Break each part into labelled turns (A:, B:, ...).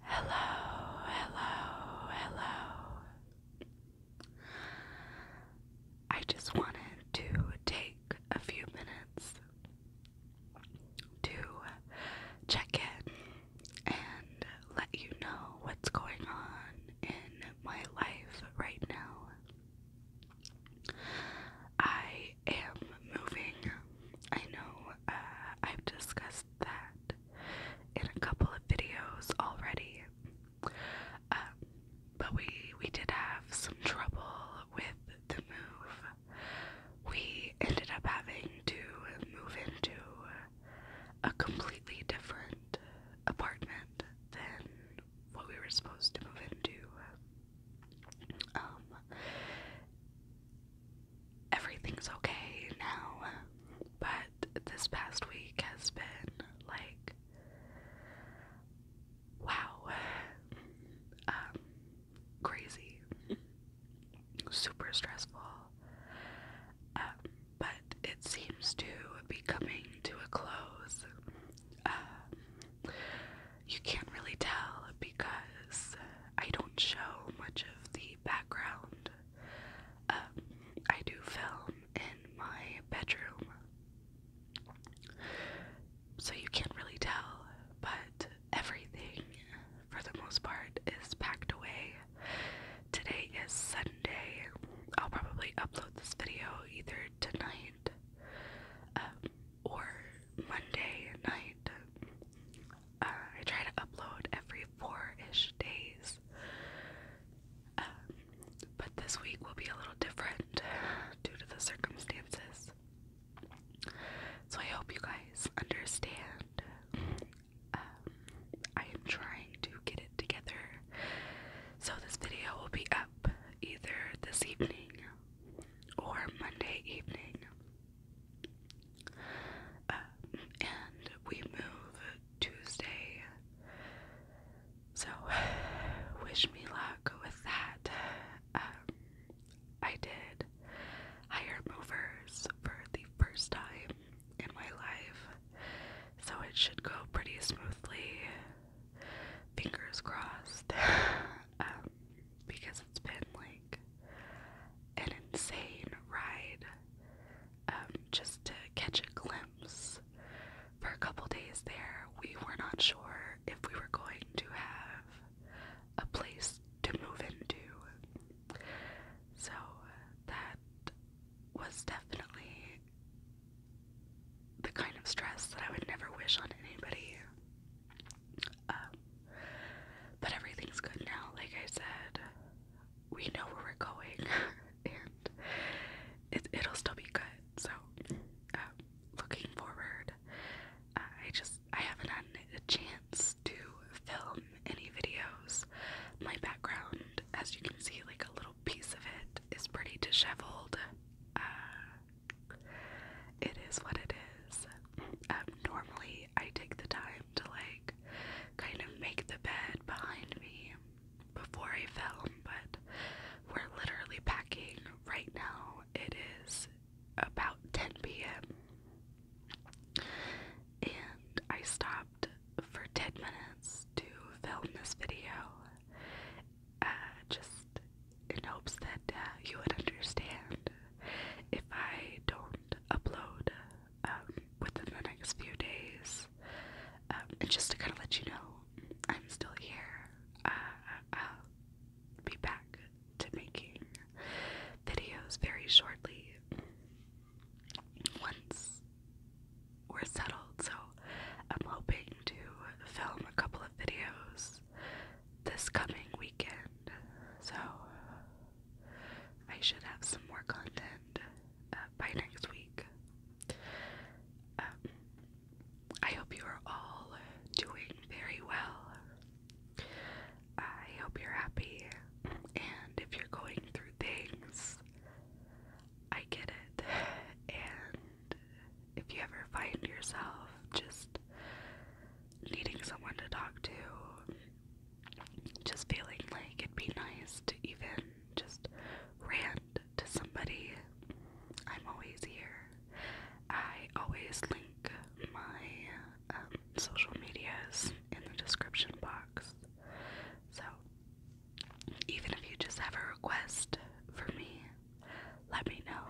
A: Hello, hello, hello. I just wanted to take a few minutes to check in and let you know what's going on in my life right now. I I am moving. I know uh, I've discussed that in a couple of videos already, um, but we we did have some trouble with the move. We ended up having to move into a completely different apartment than what we were supposed to move into. Um, everything's okay now. But this past week has been like wow. Um, crazy. Super stressful. Um, but it seems to be coming to a close. Um, you can't really tell because I don't show much of the background. Um, I do film in my bedroom. So you can't really tell, but everything for the most part is packed away. Today is Sunday. I'll probably upload this video either tonight um, or Monday night. Uh, I try to upload every four ish days. Um, but this week will be a little different due to the circumstances. So I hope you guys understand. Um, I am trying to get it together. So this video will be up either this evening or Monday evening. Uh, and we move Tuesday. So, wish me luck with that. Um, I did hire movers for the first time in my life, so it should go pretty smoothly. Fingers crossed. Um, because it's been like an insane ride. Um, just to catch a glimpse for a couple days there, we were not sure if we were going to have a place to move into. So that was definitely the kind of stress that I would never wish on anybody. Um, but everything's good now. Like I said, we know where we're going, and it, it'll still be good. So, um, looking forward, I just I haven't had a chance to film any videos. My background, as you can see, like a little piece of it is pretty disheveled. Uh, it is what it is. Um, normally, I take the time to like kind of make the bed behind me before I film, but we're literally packing right now. It is about 10 p.m. and I stopped for 10 minutes to film this video uh, just in hopes that uh, you would understand if I don't upload um, within the next few days. Um, just to kind of let you know, I'm still here. Uh, be back to making videos very shortly once we're settled. So I'm hoping to film a couple of videos this coming weekend. So I should have some more content uh, by next week. Um, I hope you are all doing very well. I hope you're happy, and if you're going through things, I get it. And if you ever find yourself just needing someone to talk to, just feeling like it'd be nice to even just rant to somebody, I'm always here. I always link my um, social medias in the description box. So even if you just have a request for me, let me know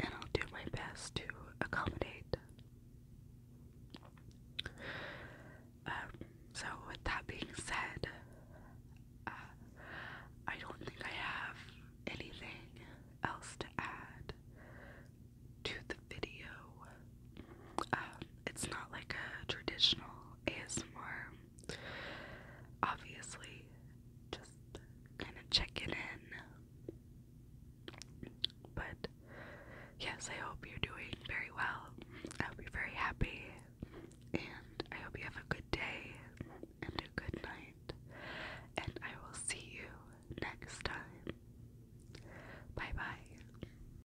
A: and I'll do my best to accommodate. Um, so, with that being said, uh, I don't think I have anything else to add to the video. Um, it's not like a traditional ASMR. Obviously, just kind of checking in. But yes, I hope you're doing very well. I hope you're very happy. And I hope you have a good day and a good night. And I will see you next time. Bye bye.